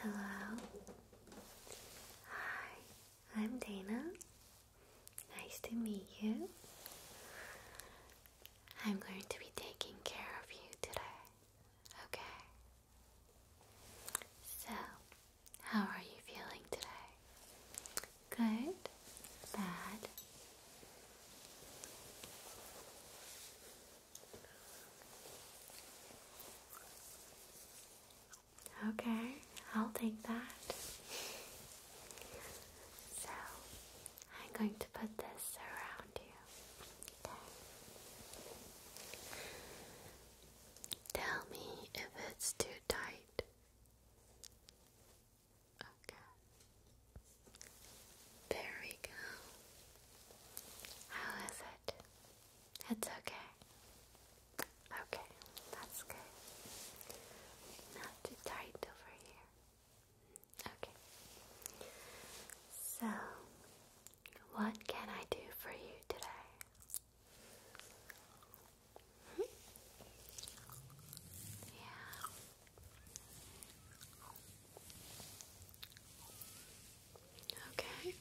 Hello. Hi, I'm Dana. Nice to meet you. I'm going to be taking care of you today. Okay. So, how are you feeling today? Good. Bad. Okay, I'll take that. So, I'm going to put this around you. Tell me if it's too tight. Okay. There we go. How is it? It's okay. Okay, that's good. Not too tight over here. Okay. So, what can I do for you today? Hmm? Yeah. Okay,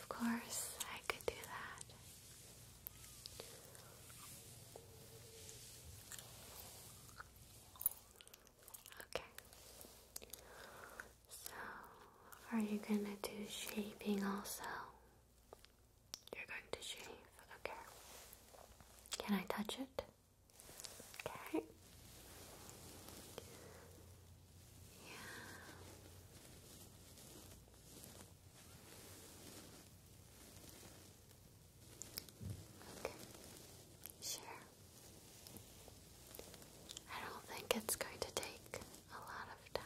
of course, I could do that. Okay. So, are you going to do shaping also? You're going to shave. Okay. Can I touch it? Okay. Yeah. Okay. Sure. I don't think it's going to take a lot of time.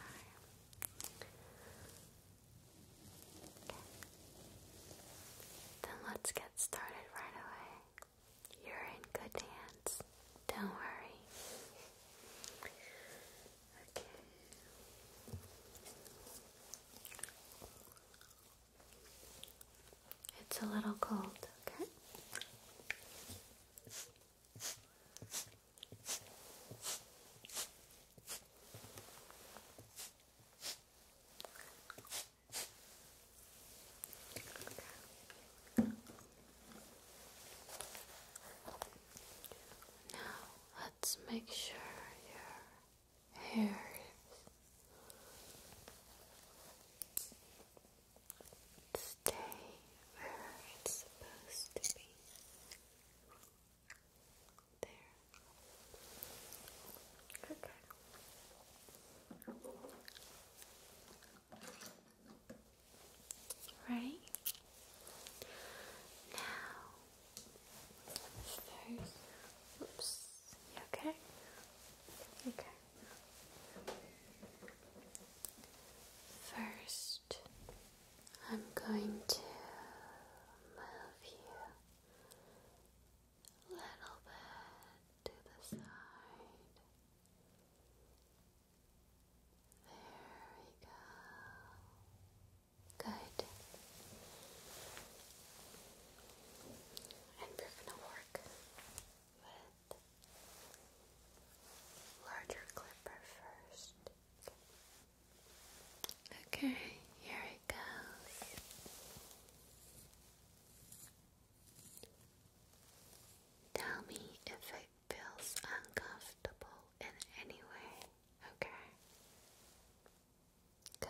Then let's get started right away. You're in good hands. Don't worry. Okay. It's a little cold, okay? Now let's make sure your hair stay where it's supposed to be. There. Okay. Right now, first, oops, okay? Okay. First, I'm going to move you little bit to the side. There we go. Good. And we're going to work with larger clipper first. Okay, here it goes. Tell me if it feels uncomfortable in any way, okay? Good.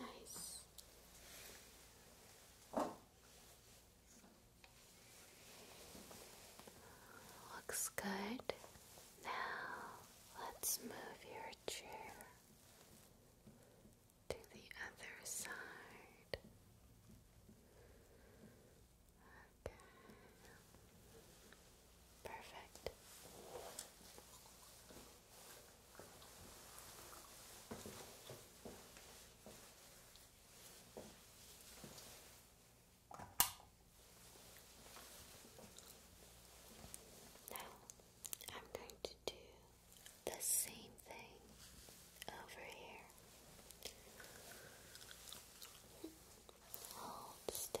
Nice. Looks good. Now let's move your chair to the other side. Okay. Perfect. Now I'm going to do the same thing over here. Hold still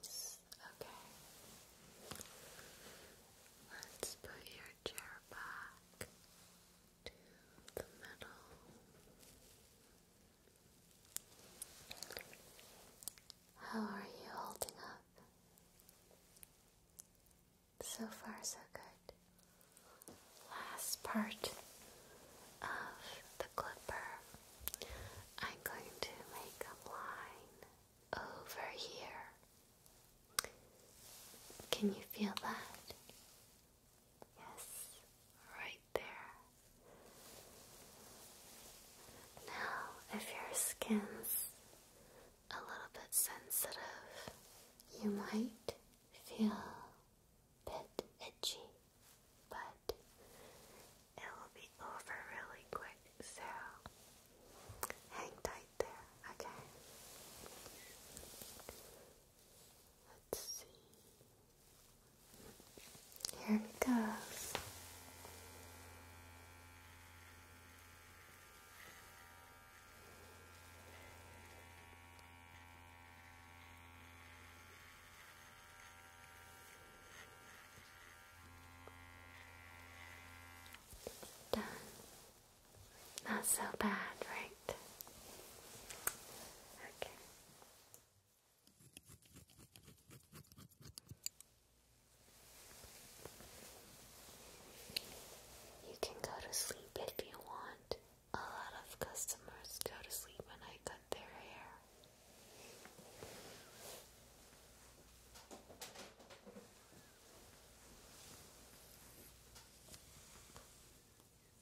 Nice. Okay. Let's put your chair back to the middle. How are you holding up? So far, so good. Last part of the clipper. I'm going to make a line over here. Can you feel that? Yes, right there. Now, if your skin's a little bit sensitive, you might feel a bit itchy, but it will be over really quick, so hang tight there, okay? Let's see. Here it goes. Done. Not so bad, right? Okay. You can go to sleep if you want. A lot of customers go to sleep when I cut their hair.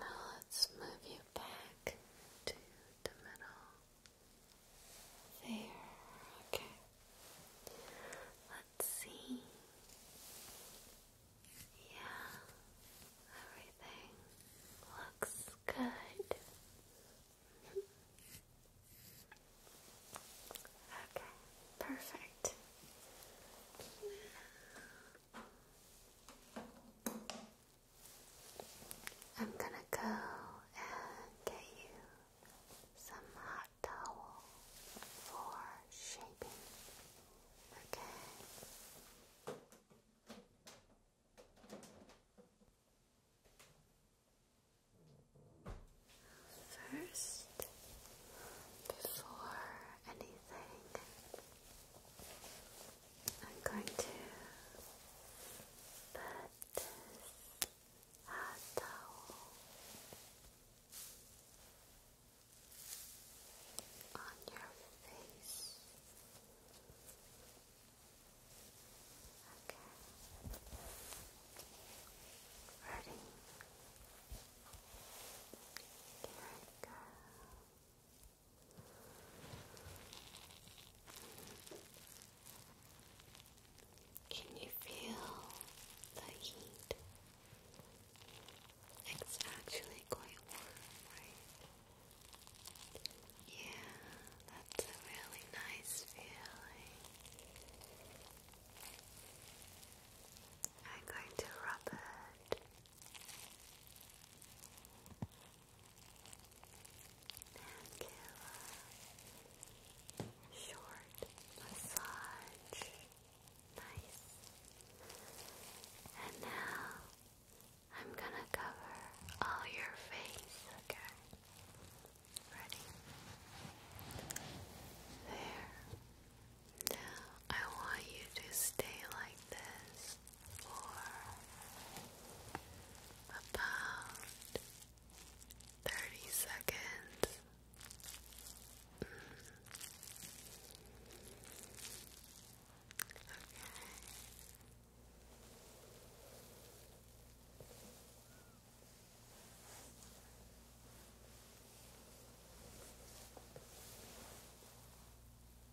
now let's move you back to the middle. There, okay. Let's see. Yeah, everything looks good. okay, perfect. I'm gonna go and get you some hot towel for shaping. Okay. First, before anything. I'm going to put this towel on your face. Okay. Ready? Here I go. Can you feel the heat? It's actually quite warm, right? Yeah, that's a really nice feeling. I'm going to rub it Mancula. Short massage. Nice. And now I'm gonna cover all your face, okay? Ready? There. I want you to stay like this for about 30 seconds. Mm-hmm.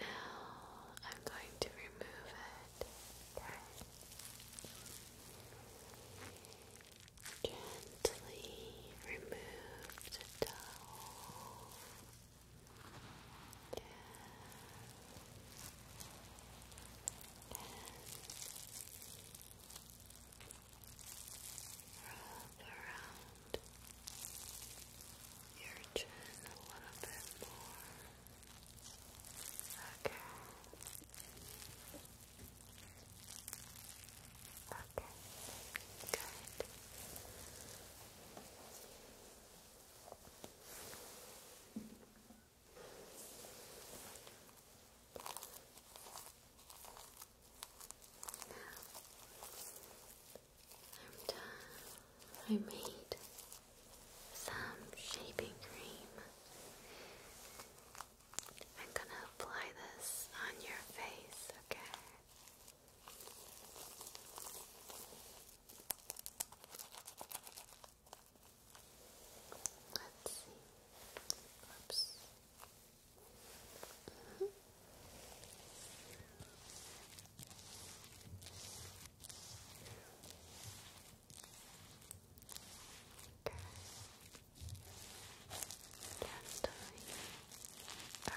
Now I'm going to remove it. Gently remove the towel. And Wrap around your chin a little bit more. Okay. Okay. Good. Now, I made some shaping cream. I'm gonna apply this on your face, okay? Let's see. Oops. Mm-hmm. Just around your chin. Your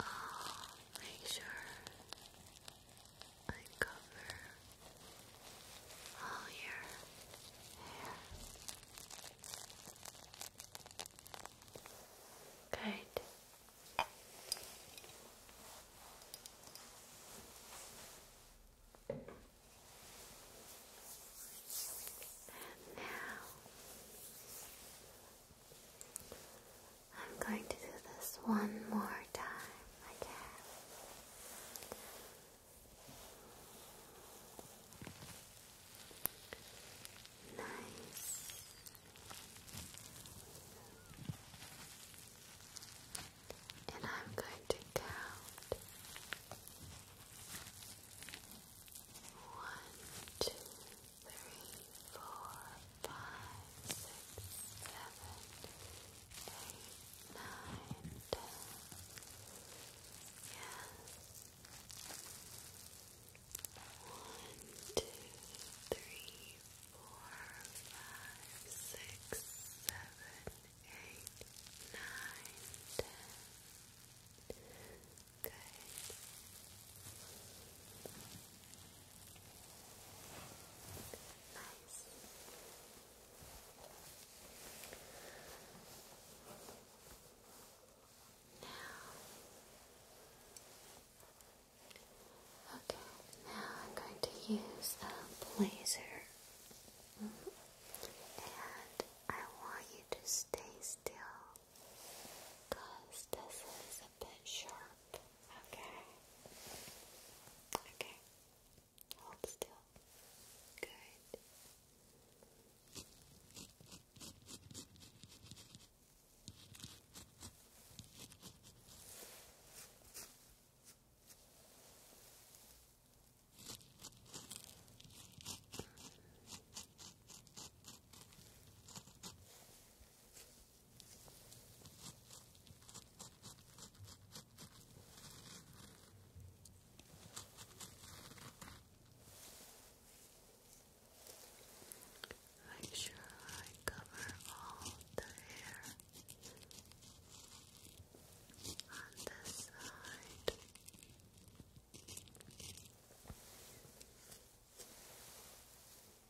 I'll make sure I cover all your hair. Good. And now I'm going to do this one more time again. Nice. And I'm going to count one, two, three, four, five, six, seven, eight, nine, ten. Yes. One, two, three, four, five, six, seven, eight, nine, ten. Good. Nice. Now. Okay, now I'm going to use a blazer mm-hmm. and I want you to stay still because this is a bit sharp. Okay. Okay. Hold still. Good. Make sure I cover all the hair on this side.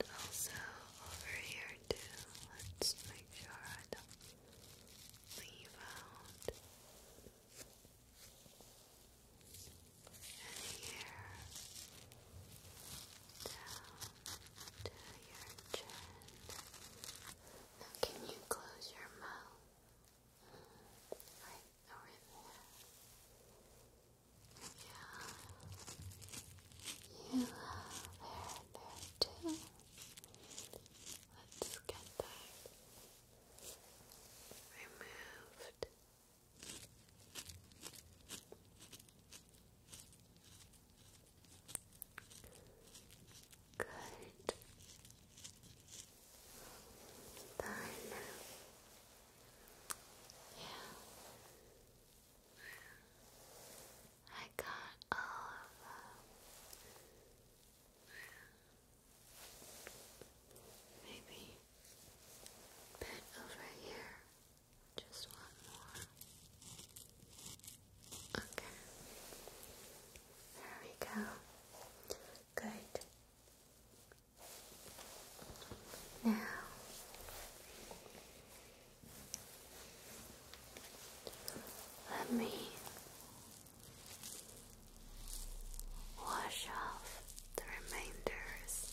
And also over here too, let's make sure I don't leave out and here now, can you close your mouth? Right over there. Yeah. You there too. Let's get that removed. Good. Done. Yeah. I got all of Maybe a over here. Just one more. Okay. There we go. Good. Now let me wash off the remainders.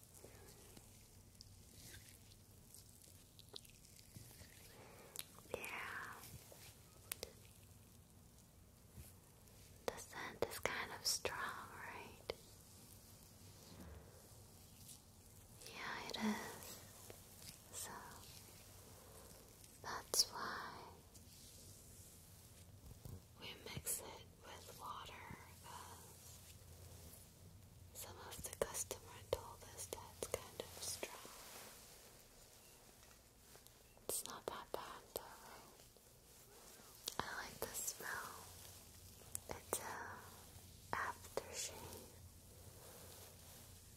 Yeah. The scent is kind of strong, right? Yeah, it is. So that's why we mix it with water some of the customer told us that's kind of strong. It's not that bad though. I like the smell. It's a aftershave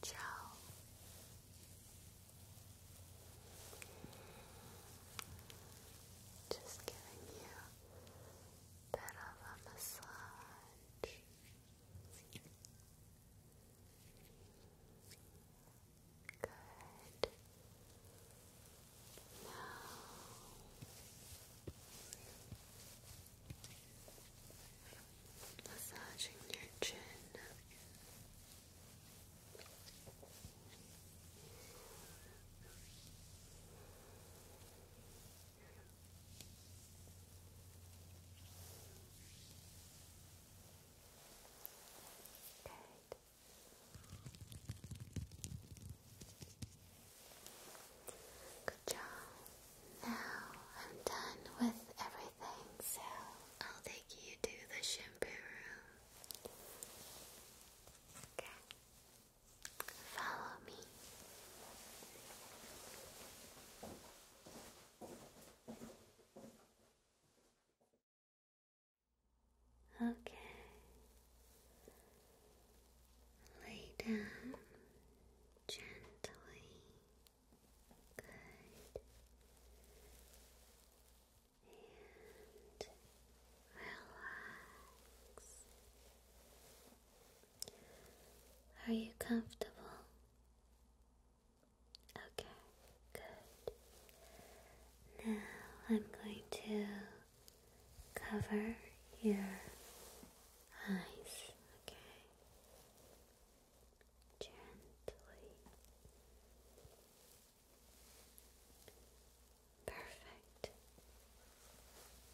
gel. Just giving you bit of a massage. Good. Now massaging your chin. Good. Good job. Now I'm done with everything, so I'll take you to the shampoo room. Okay. Follow me. Okay. Lay down gently. Good. And relax. Are you comfortable? Okay, good. Now I'm going to cover your eyes, okay? Gently. Perfect.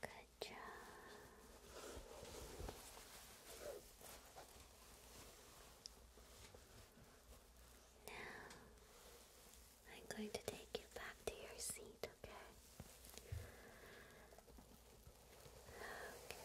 Good job. Now, I'm going to take you back to your seat, okay? Okay.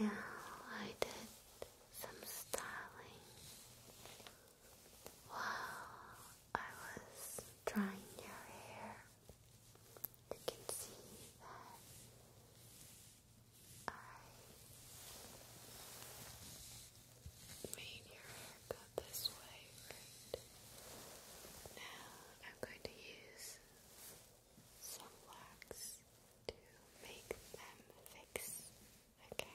Now I did some styling while I was drying your hair, you can see that I made your hair go this way, right? Now I'm going to use some wax to make them fix. Okay.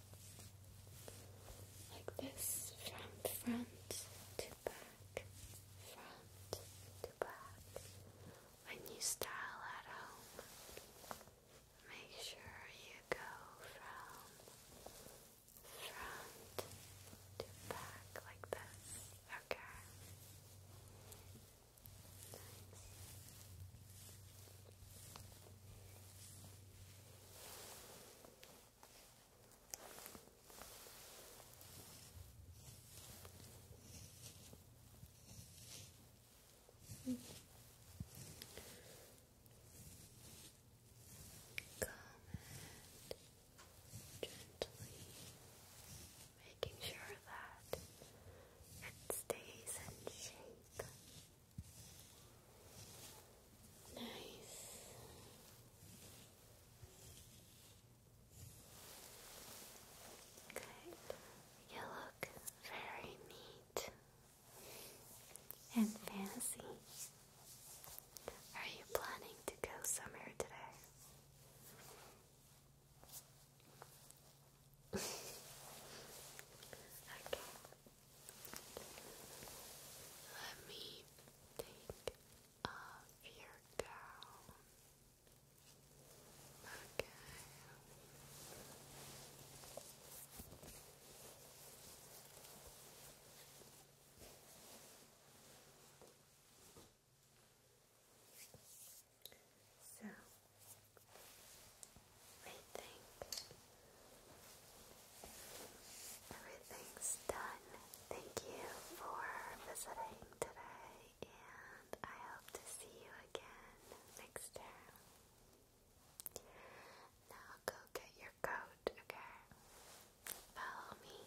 like this from front to back, front to back. When you style at home, make sure you go from front to back like this. Okay. Nice. Mm. Calm gently, making sure that it stays in shape. Nice. Good. You look very neat and fancy. Are you planning to go somewhere today? okay. Let me take off your gown. Okay. So I everything's done. Thank you for visiting today, and I hope to see you again next time. Now go get your coat, okay? Follow me.